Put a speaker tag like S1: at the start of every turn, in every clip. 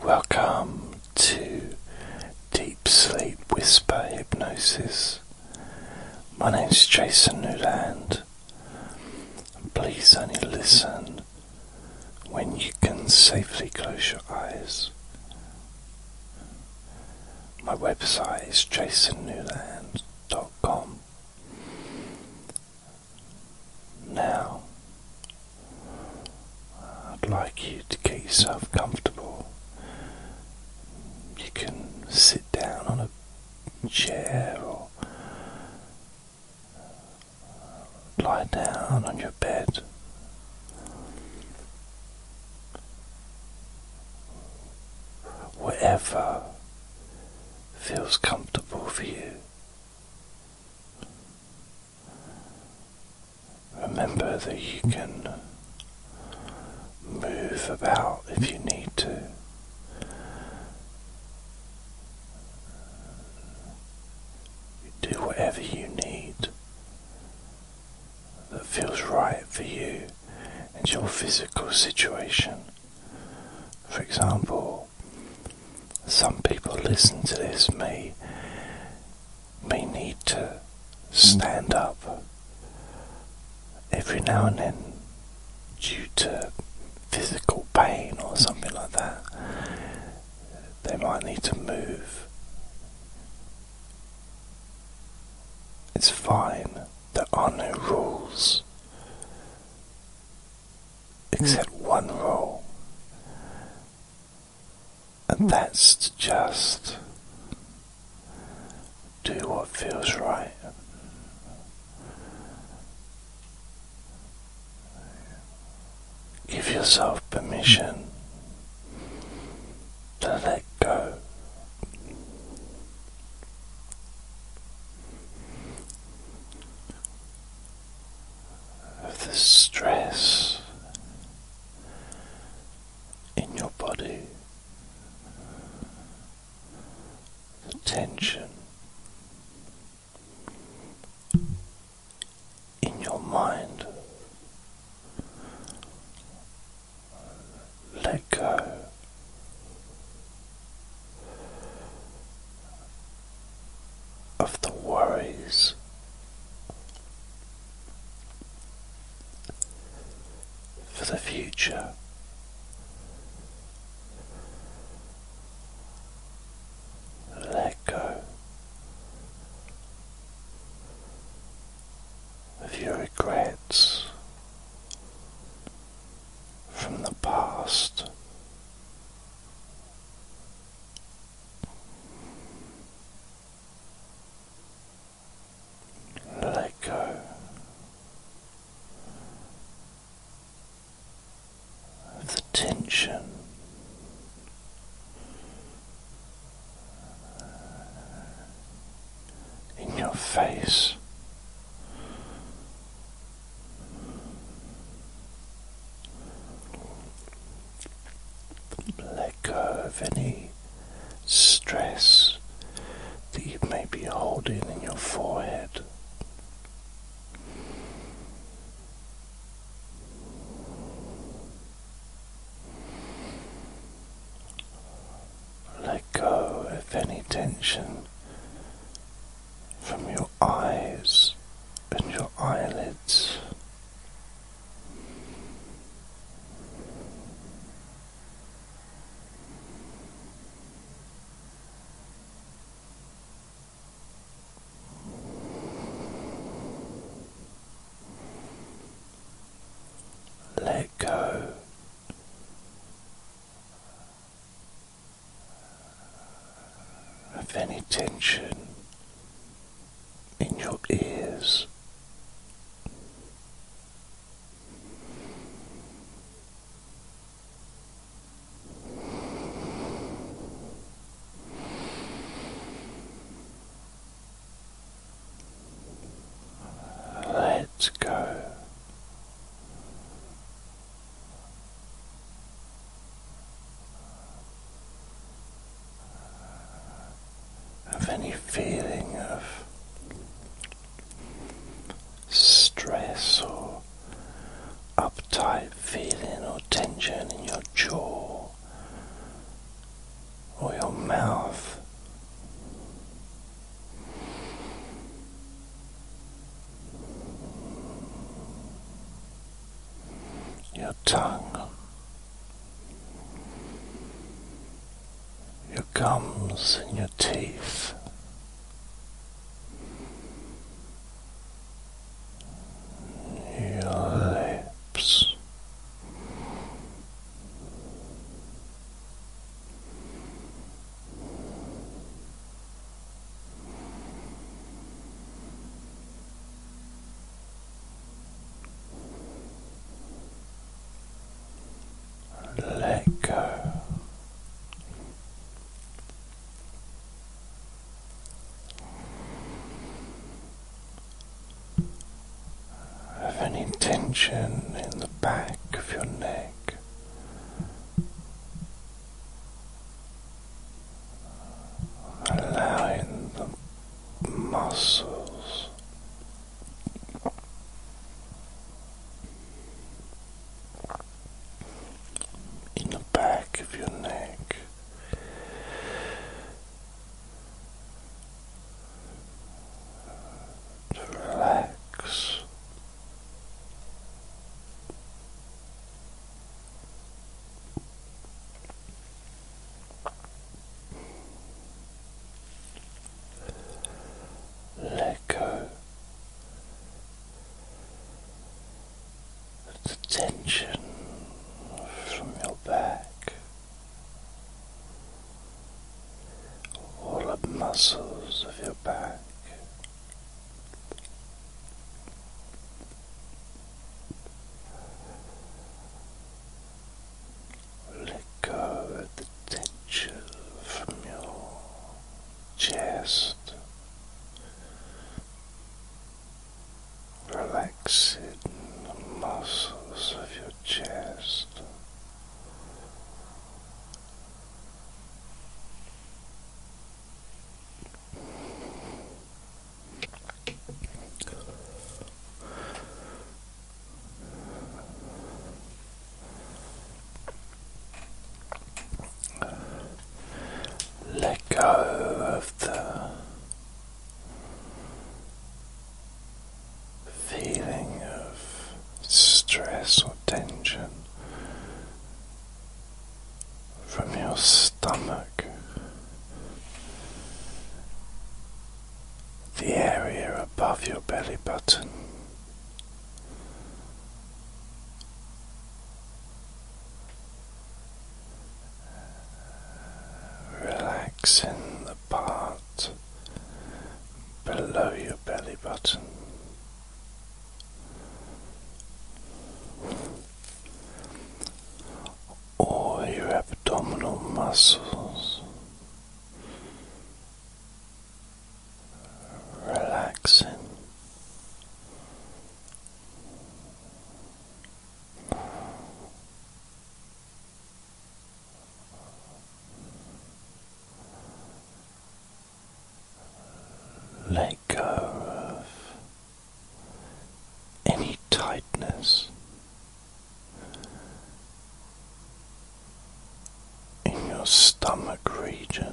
S1: Welcome to Deep Sleep Whisper Hypnosis. My name is Jason Newland. Please only listen when you can safely close your eyes. My website is jasonnewland.com. Now, I'd like you to get yourself comfortable. You can sit down on a chair or lie down on your bed. Whatever feels comfortable for you. Remember that you can move about if you need to. You do whatever you need that feels right for you and your physical situation. For example, some people listen to this may may need to stand up every now and then due to physical pain or something like that. They might need to move. It's fine. There are no rules. Except one rule. And that's to just do what feels right. Give yourself permission to let go of the stress in your body, the tension in your mind. Let go of the worries. For the future, let go of your regrets from the past. Let go of the tension in your face. Let go of any stress that you may be holding in your forehead. Let go of any tension from your eyes and your eyelids. Let go of any tension in your ears. Let us go of any feeling of stress or uptight feeling or tension in your jaw or your mouth your tongue, your gums and your teeth. Your lips, let go. Of any tension in the back of your neck, allowing the muscles in the back of your neck to relax. Let go the tension from your back, all the muscles of your back. Let go of the tension from your chest, relaxing the muscles of your chest. Let go of the feeling of stress or tension from your stomach, the area above your belly button. relax in the part below your belly button, or your abdominal muscles relaxing. Let go of any tightness in your stomach region.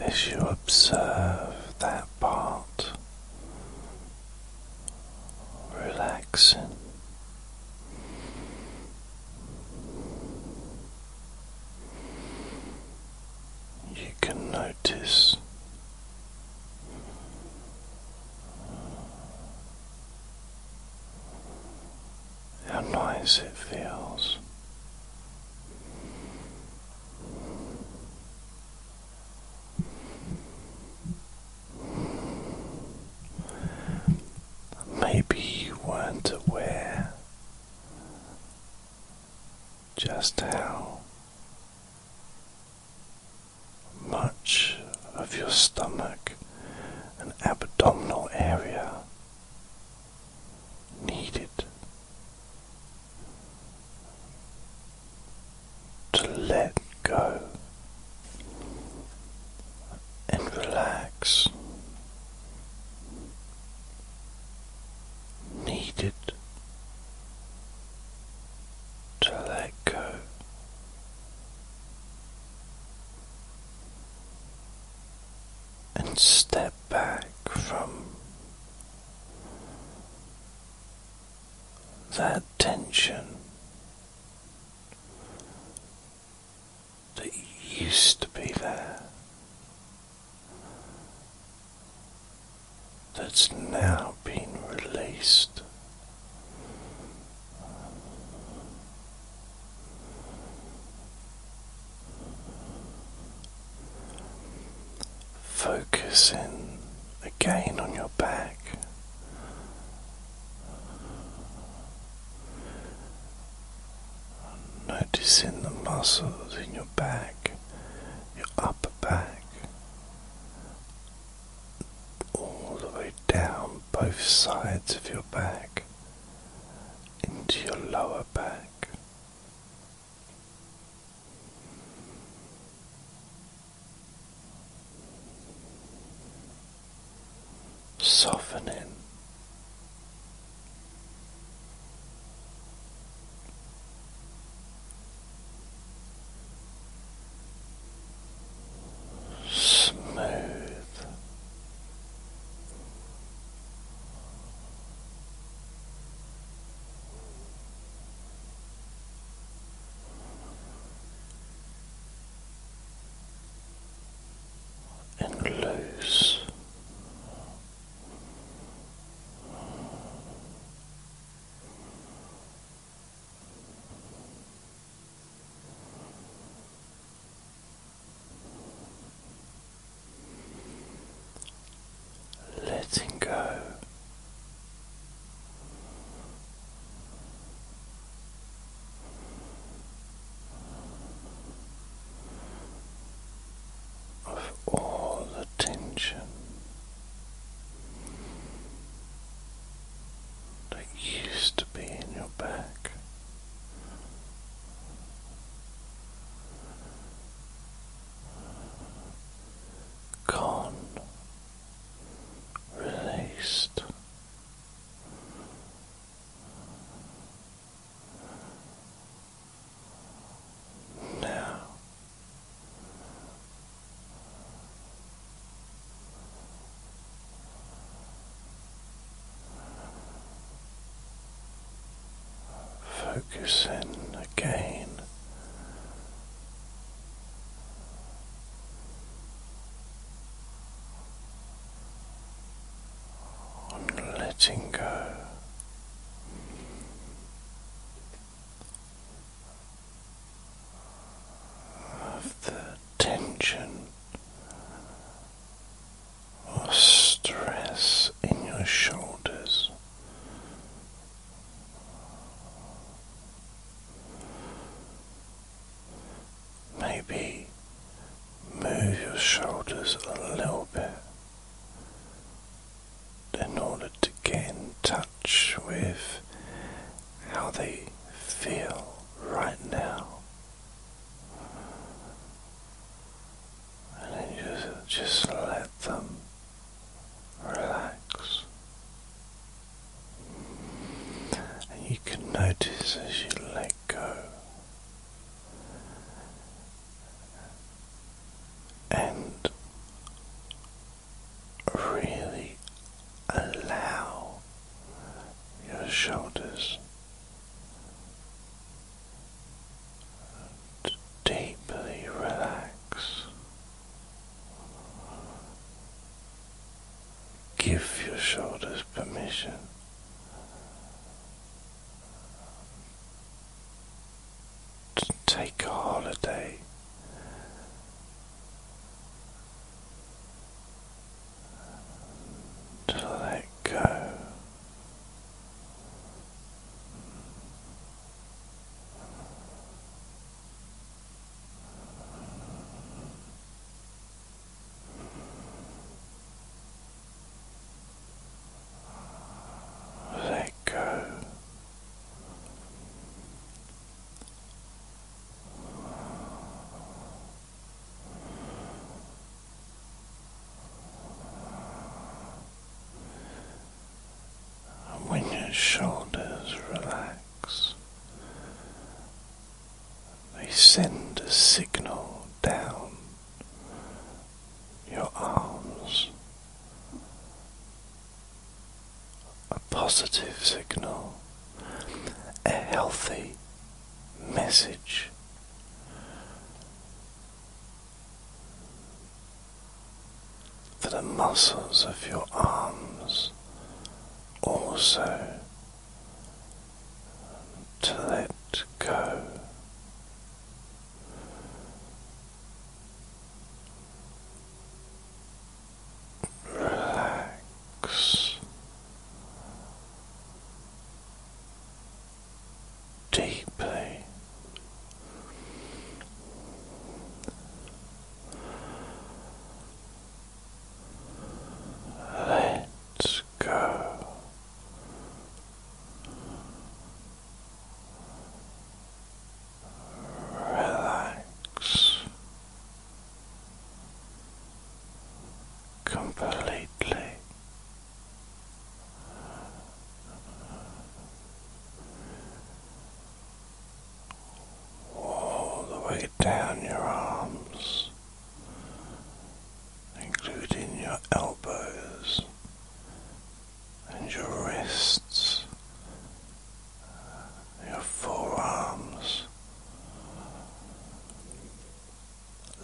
S1: As you observe that part relaxing. You can notice how nice it feels. Maybe you weren't aware just how much of your stomach and abdominal area needed to let go and relax. Needed to let go. And step back from that tension that used to be there, that's now been released. Focusing again on your back. Noticing the muscles in your back, your upper back, all the way down both sides of your back, into your lower back, softening. Smooth and lose letting go. Of all the tension that used to be in your back, gone, released. Now focus in again on letting go. Of the tension or stress in your shoulders Maybe move your shoulders a little bit in order to gain touch with how they feel right now. And then just, just let them relax. And you can notice as you let go and really allow your shoulders to deeply relax. Give your shoulders permission. To take a holiday. To let go let go when your shoulders relax, they send a signal down your arms, a positive signal, a healthy message for the muscles of your arms also to let go. Relax deeply. Let's go. Relax completely all the way down your arms, including your elbows and your wrists, your forearms,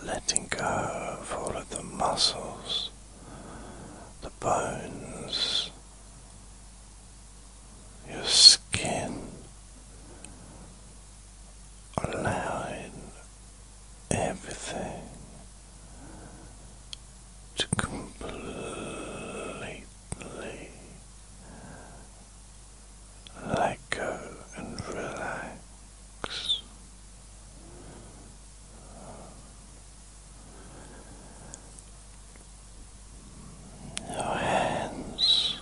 S1: letting go of all of the muscles the bones, your skin, allowing everything to completely let go and relax your hands.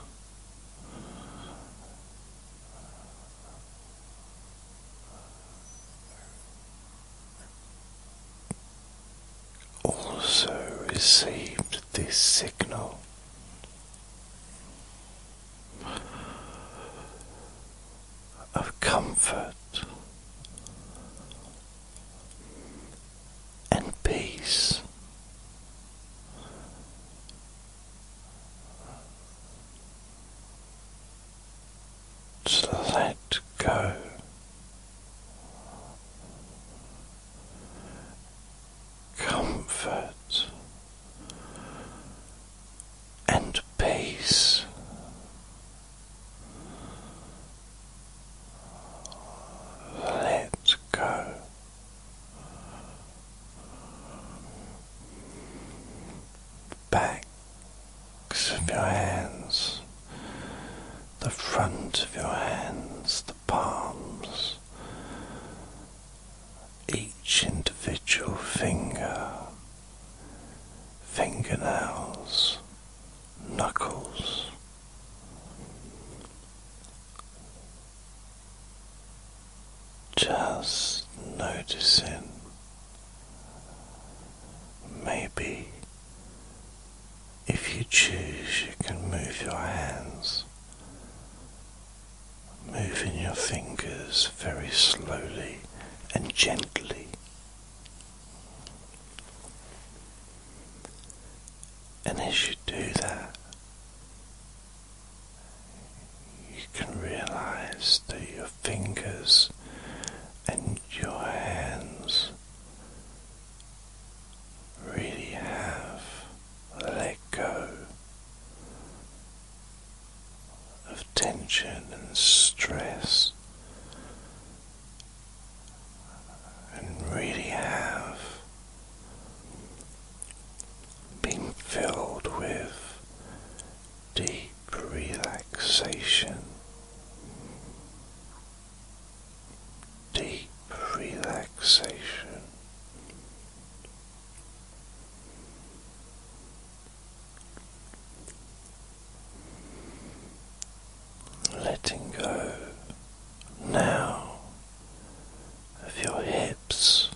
S1: Also received this signal of comfort and peace. let go comfort and peace. Let go. Backs of your hands, the front of your hands, the palms, each individual finger fingernails, knuckles. Just noticing, maybe if you choose, you can move your hands, moving your fingers very slowly and gently and as you do that, you can realize that your fingers and your hands really have let go of tension and stress, and really have been filled with deep relaxation. Deep relaxation, Letting go now of your hips,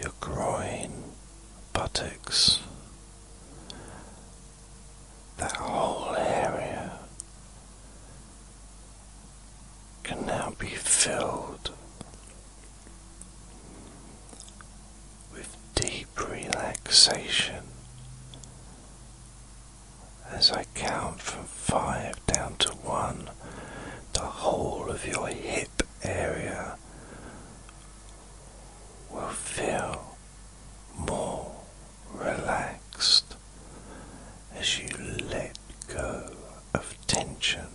S1: your groin, buttocks, that whole area can now be filled with deep relaxation as I count from five down to one, the whole of your hip area will feel more relaxed as you let go of tension,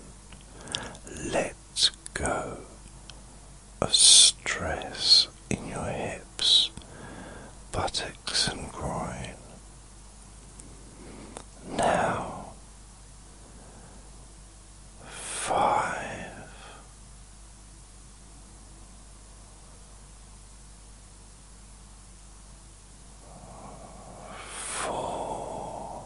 S1: let Let's go of stress in your hips, buttocks, and groin. Now, five, four,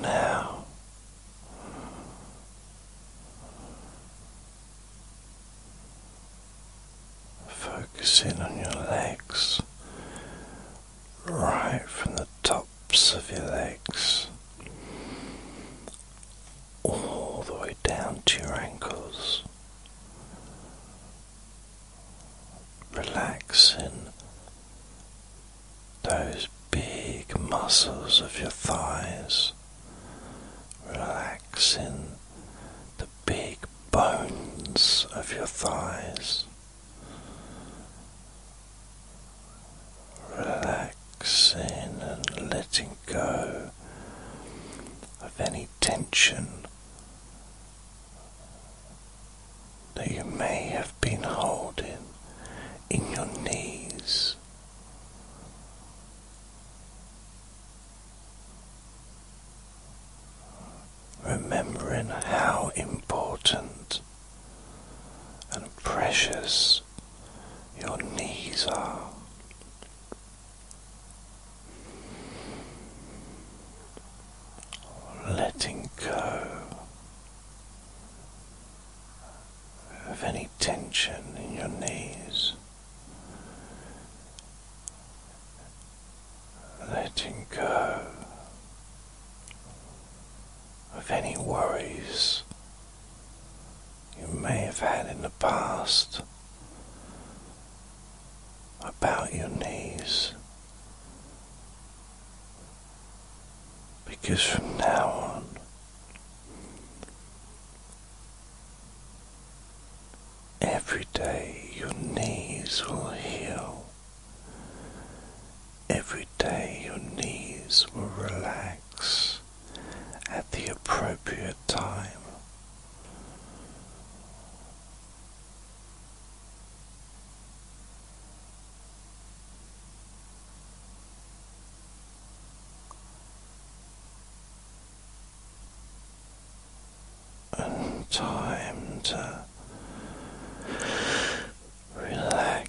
S1: now focusing on your legs right from the tops of your legs all the way down to your ankles, relaxing those big muscles of your thighs, relaxing the big bones of your thighs. Relaxing relaxing and letting go of any tension that you may have been holding in your knees. Remembering how important and precious your knees are. Letting go of any tension in your knees, letting go of any worries you may have had in the past about your knees. Because from now on, every day your knees will heal. Every day your knees will relax at the appropriate time. And time to relax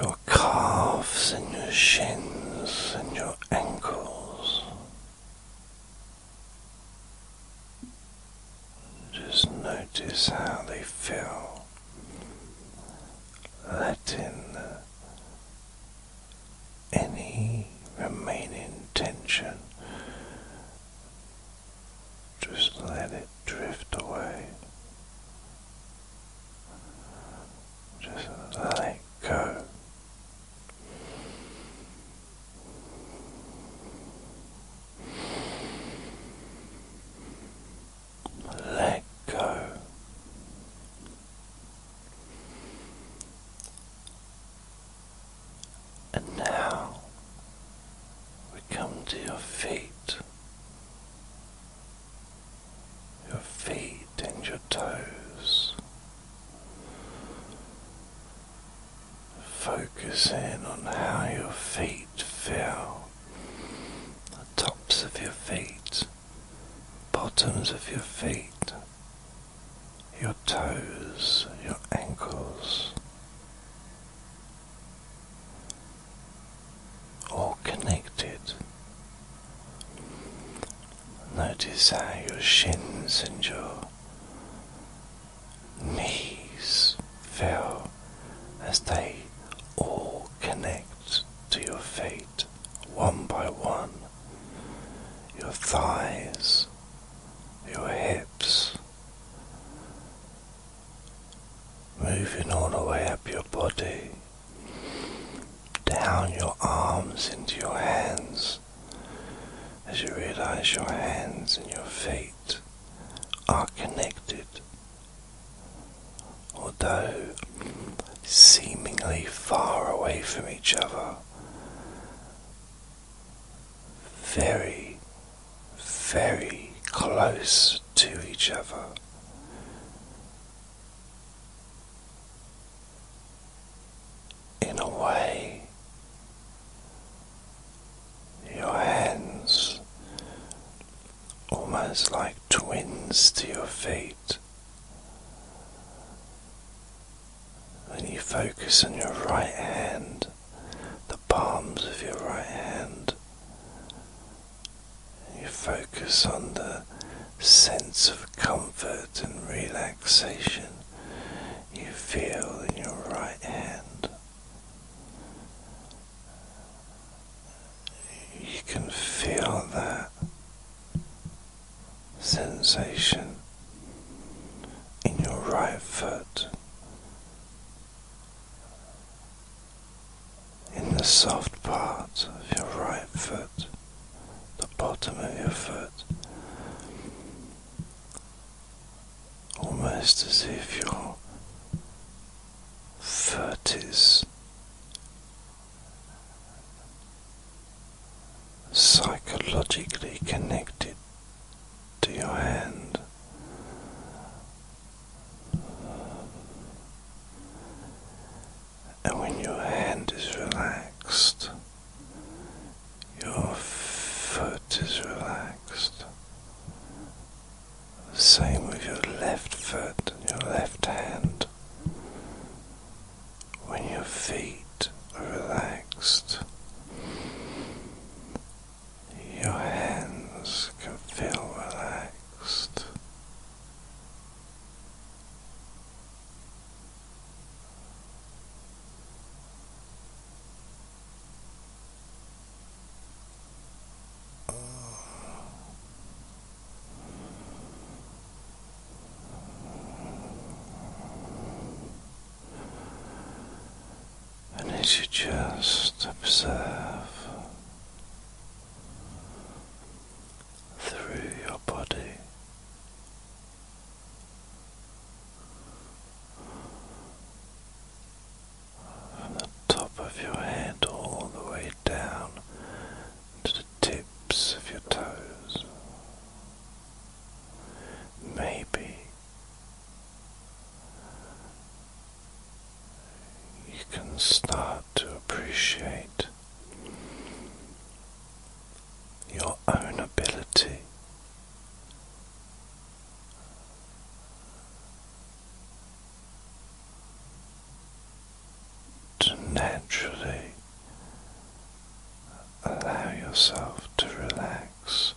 S1: your calves and your shins and your ankles. Just notice how they feel. Let in any remaining tension. Just let it drift away. Just let it go. Let go. And now we come to your feet your feet and your toes. Focus in on how your feet feel, the tops of your feet, bottoms of your feet, your toes, your ankles all connected. Notice how your shins and your knees feel as they all connect to your feet one by one. Your thighs, your hips, moving all the way up your body down your arms into your hands as you realize your hands and your feet are connected. Although seemingly far away from each other, very, very close to each other in a way your hands almost like twins to your feet when you focus on your right hand the palms of your right hand you focus on the sense of comfort and relaxation you feel in your right hand. You can feel that sensation in your right foot in the soft part of your right foot, the bottom of your foot, almost as if your foot is psychologically connected to your hand and when your hand is relaxed, your foot is relaxed. same with your left foot and your left hand. When your feet are relaxed, your hands can feel relaxed. And as you just observe through your body. From the top of your head all the way down to the tips of your toes. Maybe you can start to appreciate your own ability to naturally allow yourself to relax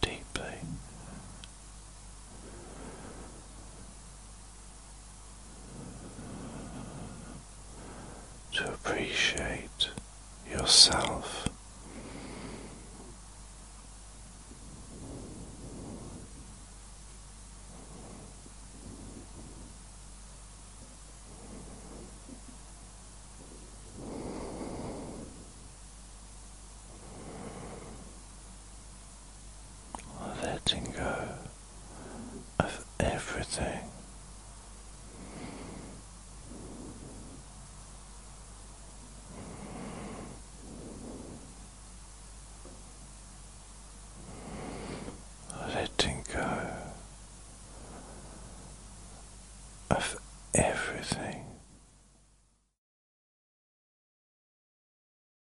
S1: deeply to appreciate yourself letting go of everything. Letting go of everything.